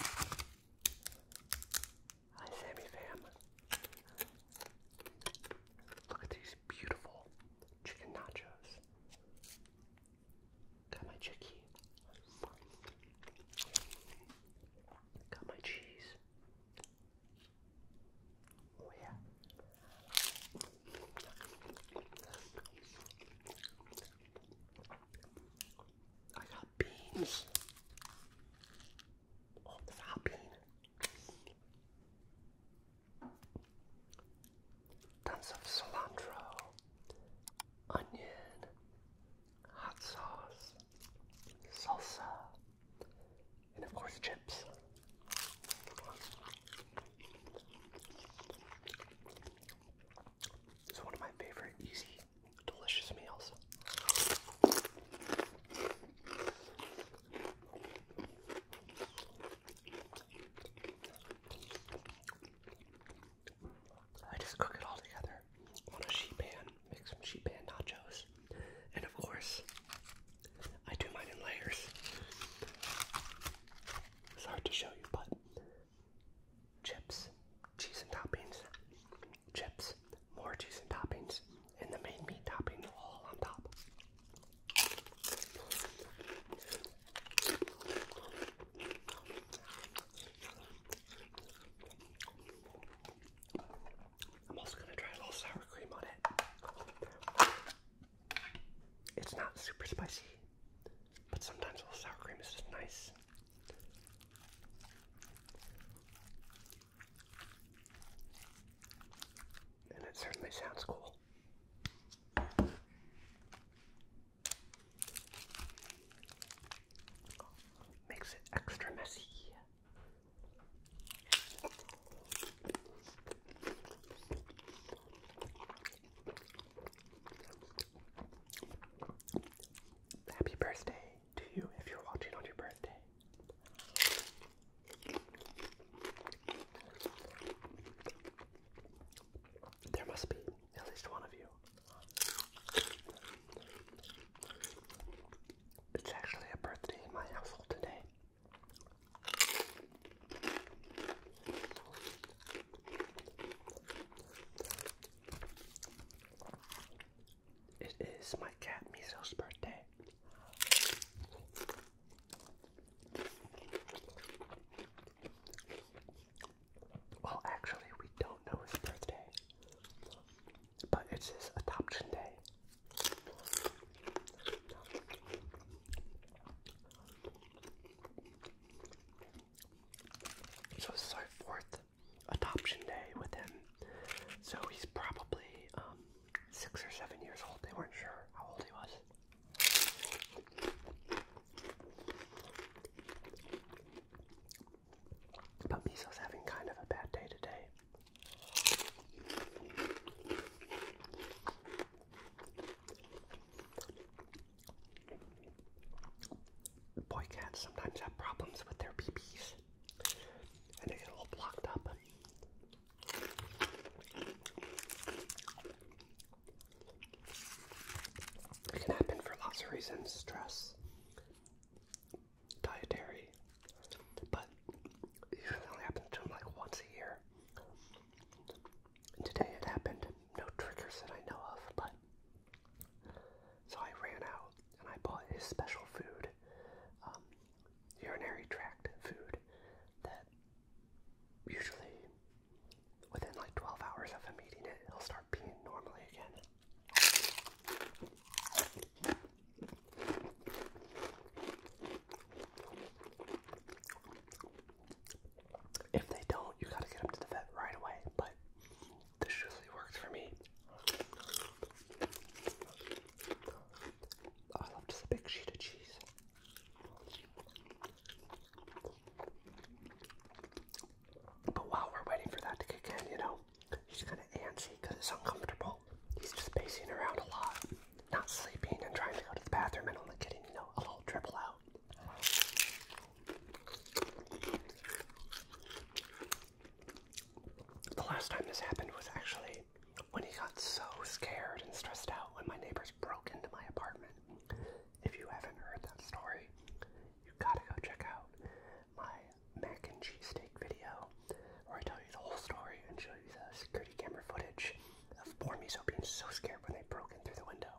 Hi, Sammy fam. Look at these beautiful chicken nachos. Got my chicky. Got my cheese. Oh yeah. I got beans. Oh, bean. Tons of cilantro, onion, hot sauce, salsa, and of course chips. It's one of my favorite easy delicious meals. I just cook it all together on a sheet pan, make some sheet pan nachos, and of course, I do mine in layers. It's hard to show you, but chips, cheese and toppings, chips, more cheese and toppings, and the main meat topping all on top. I'm also going to try a little sour cream on it. It's not super spicy, but sometimes a little sour cream is just nice. And it certainly sounds cool. Makes it extra messy. Happy birthday to you if you're watching on your birthday. There must be at least one of you. It's actually a birthday in my household today. It is my cat Miso's birthday. Well, actually, we don't know his birthday, but it's his adoption day. So this is fourth adoption day with him. So he's probably um, six or seven years old. They weren't sure how old he was. But Miso's having kind of a bad day today boy cats sometimes have problems with their BBs and they get all blocked up. It can happen for lots of reasons stress, dietary, but it happens to them like once a year. today it happened. No triggers that I know of, but so I ran out and I bought his special food, um, urinary tract food that usually within like 12 hours of him eating it, he'll start peeing normally again. If they don't, you gotta get him to the vet right away. But this really works for me. Oh, I love just a big sheet of cheese. But while we're waiting for that to kick in, you know, he's kind of antsy because it's uncomfortable. He's just pacing around a lot, not sleeping and trying to go to the bathroom and only getting, you know, a little dribble out. The last time this happened was actually when he got so scared and stressed out when my neighbors broke into my apartment. If you haven't heard that story, you gotta go check out my mac and cheese steak video where I tell you the whole story and show you the security camera footage of poor Miso being so scared when they broke in through the window.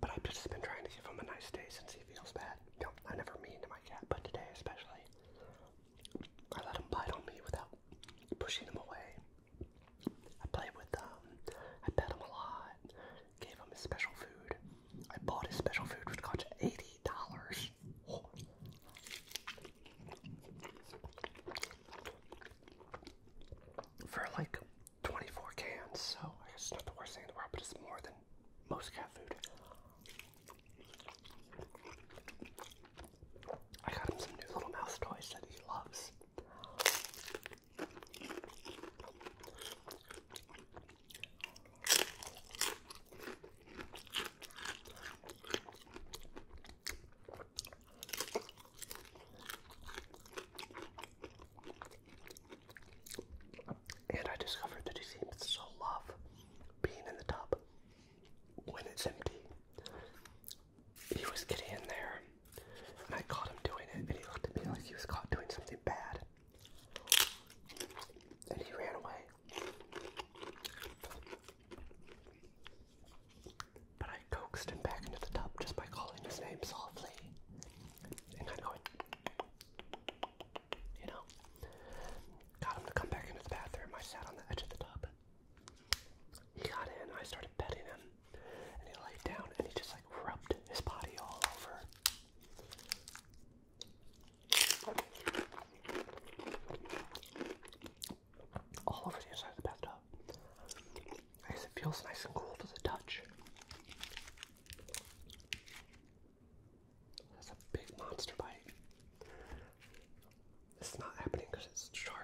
But I've just been trying to give him a nice day since he feels bad. No, I never mean to my cat, but today especially, I let him bite on me without pushing him away. I played with them. Um, I pet him a lot. Gave him his special food. I bought his special food, which cost eighty dollars. For like 24 cans, so I guess it's not the worst thing in the world, but it's more than most cat food. I got him some new little mouse toys that he loves. And I discovered that he seems to love being in the tub when it's empty he was getting in there, and I caught him doing it, and he looked at me like he was caught doing something bad. And he ran away. But I coaxed him back into the tub just by calling his name softly. And I'm going, you know, got him to come back into the bathroom. I sat on the edge of the tub he got in, I started petting him, and he laid down and he just like rubbed his body all over. All over the inside of the bathtub. I guess it feels nice and cool to the touch. That's a big monster bite. It's not happening because it's sharp.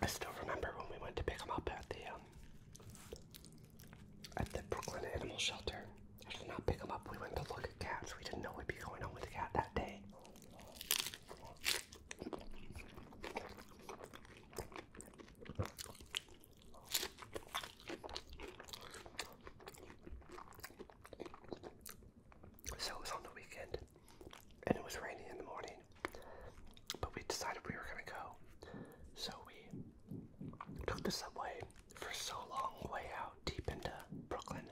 I still remember when we went to pick him up at the um, at the Brooklyn Animal Shelter. I did not pick him up. We went to look at cats. We didn't know we would be going on with the cat that day. So it was on the weekend and it was rainy in the morning, but we decided we were going to go. So we took the subway for so long, way out deep into Brooklyn.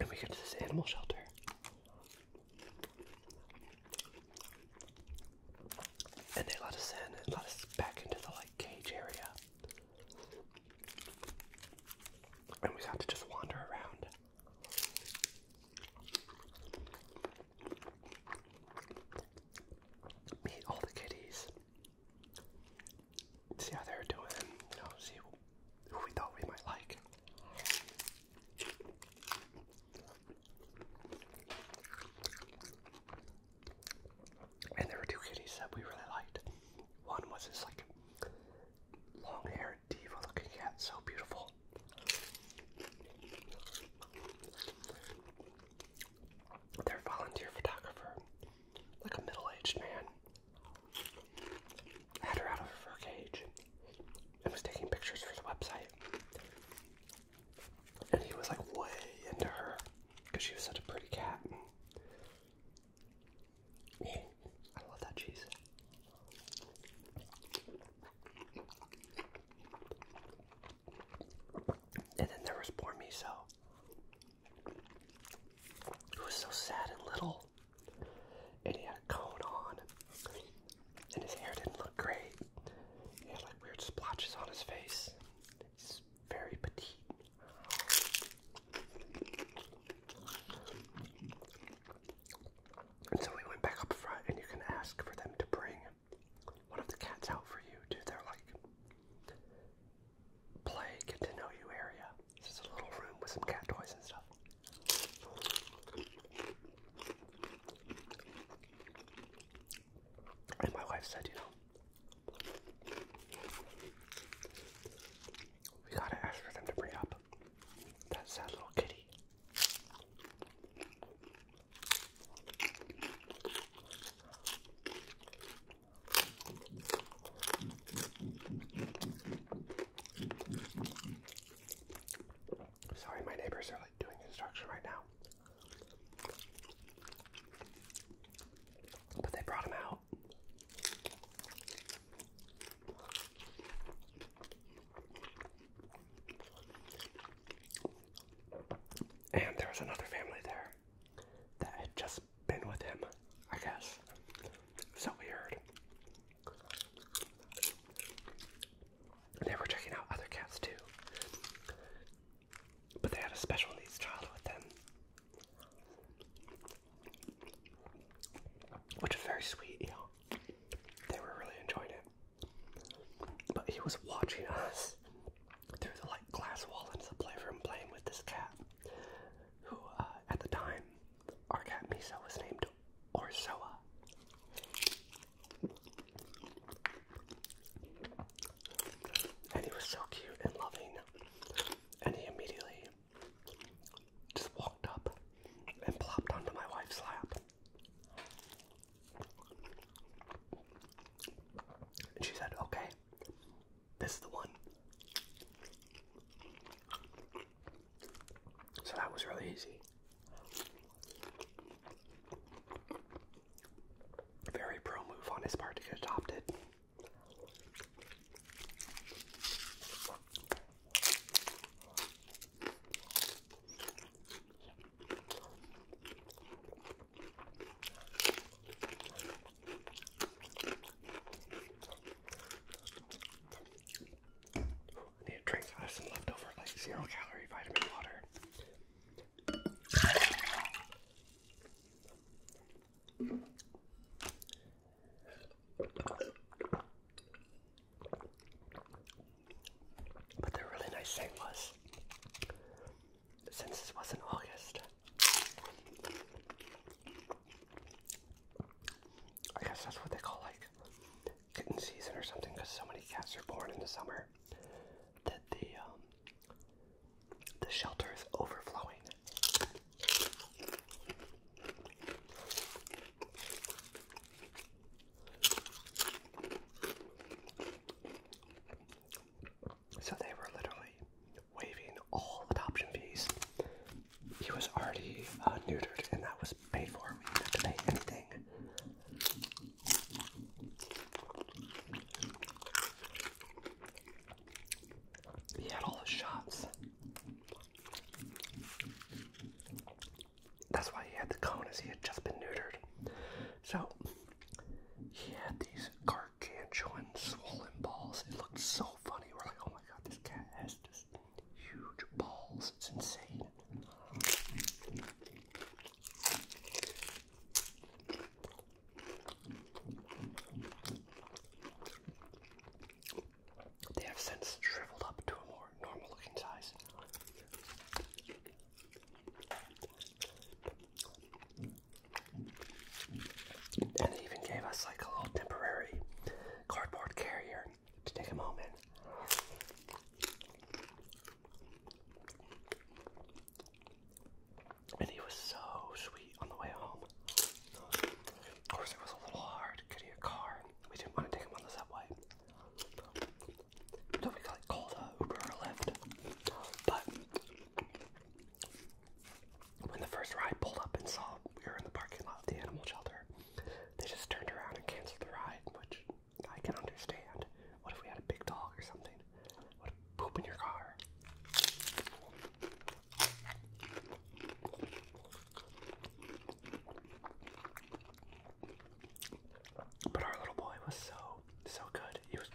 And we got to this animal shelter. And they let us in and let us back into the like cage area. And we got to just wander around. Meet all the kitties. See how they're doing, you know, see who we thought we might like. And there were two kitties that we really liked. One was this like long-haired diva-looking cat, so beautiful. Their volunteer photographer, like a middle-aged man, had her out of her cage and was taking pictures for the website and he was like way into her because she was such a pretty cat. And I love that cheese. And then there was poor Miso, who was so sad and little, and he had a cone on, and his hair didn't look great. He had like weird splotches on his face. He's very petite. And so we went back up front, and you can ask for them to bring one of the cats out for you to their like play, get to know you area. This is a little room with some cat toys and stuff. And my wife said, you know, we gotta ask for them to bring up that sad little kitty. Sorry, my neighbors are doing instruction right now. But they brought him out. And there was another family there that had just been with him, I guess. So weird. And they were checking out other cats too. But they had a special needs child with them. Which is very sweet, They were really enjoying it. But he was watching us through the like glass wall into the playroom playing with this cat. Who uh, at the time our cat Miso was named Orsoa. And he was so cute and loving. And he immediately just walked up and plopped onto my wife's lap. And she said, Okay, this is the one. So that was really easy. Very pro move on his part to get adopted. I need a drink out of some leftover like zero calorie vitamin water. But the really nice thing was, since this was in August, I guess that's what they call like kitten season or something because so many cats are born in the summer that the um, the shelter is overflowing. So they were literally waiving all adoption fees. He was already uh, neutered, and that was paid for. We didn't have to pay anything he had all the shots. That's why he had the cone, as he had just been neutered. So he had these gargantuan swollen balls. It looked so funny. We're like, oh my god, this cat has just huge balls. It's insane. They have since shriveled up to a more normal looking size. And they even gave us like a little temporary cardboard carrier to take them home in. And he was so sweet on the way home. Of course, it was a little hard getting a car. We didn't want to take him on the subway. So we like, called a Uber or Lyft. But when the first ride pulled up and saw we were in the parking lot of the animal shelter, they just turned around and canceled the ride, which I can understand. What if we had a big dog or something? What if poop in your car? But our little boy was so, so good. He was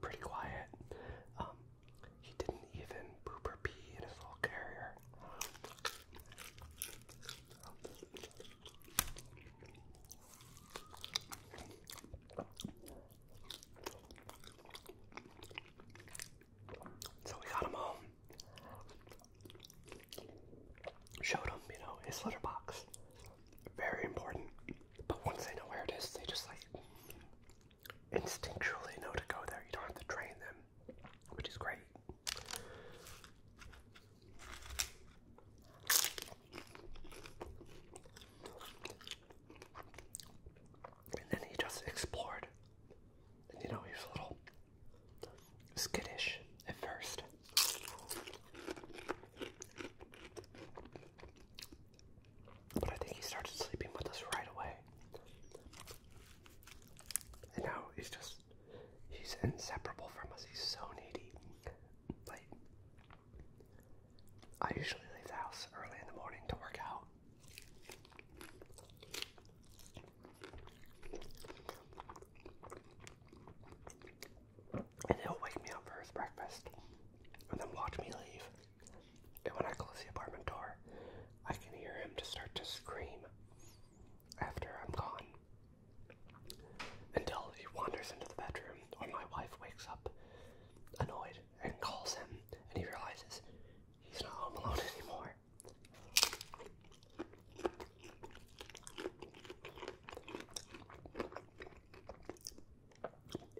pretty quiet. Um, he didn't even poop or pee in his little carrier. So we got him home. Showed him, you know, his litter box. Very important. But once they know where it is, they just like instinctually know to go there. You don't have to train them, which is great. And then he just explored. And you know, he was a little skittish at first. But I think he started sleeping with us right away. And now he's just, he's inseparable from us. He's so needy. Like, I usually leave the house early in the morning to work out. And he'll wake me up for his breakfast and then watch me leave. And when I close the apartment door, I can hear him just start to scream after I'm gone until he wanders into the bedroom or my wife wakes up annoyed and calls him, and he realizes he's not home alone anymore.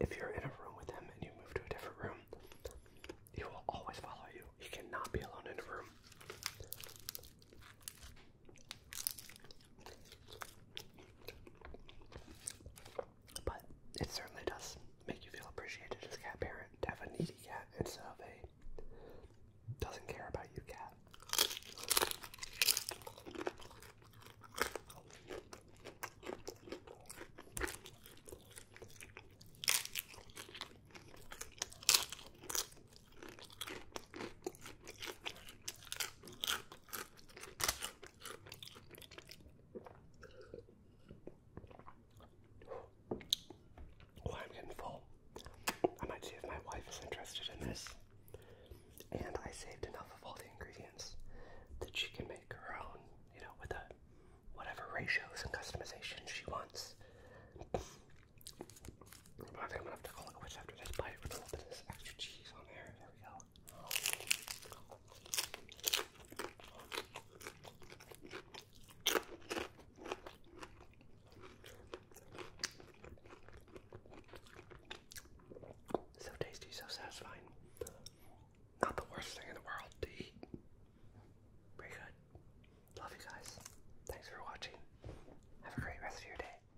If you're in a room with him and you move to a different room, he will always follow you. He cannot be alone in a room. But it certainly does make you feel appreciated as a cat parent to have a needy cat instead of a doesn't care about you cat. I'm getting full. I might see if my wife is interested in this. And I saved enough of all the ingredients that she can make her own, you know, with whatever ratios and customization she wants. I think I'm gonna have to call it quits after this bite with a little bit of this extra cheese on there. There we go. So tasty, so satisfying. Not the worst thing in the world to eat. Pretty good. Love you guys. Thanks for watching. Have a great rest of your day.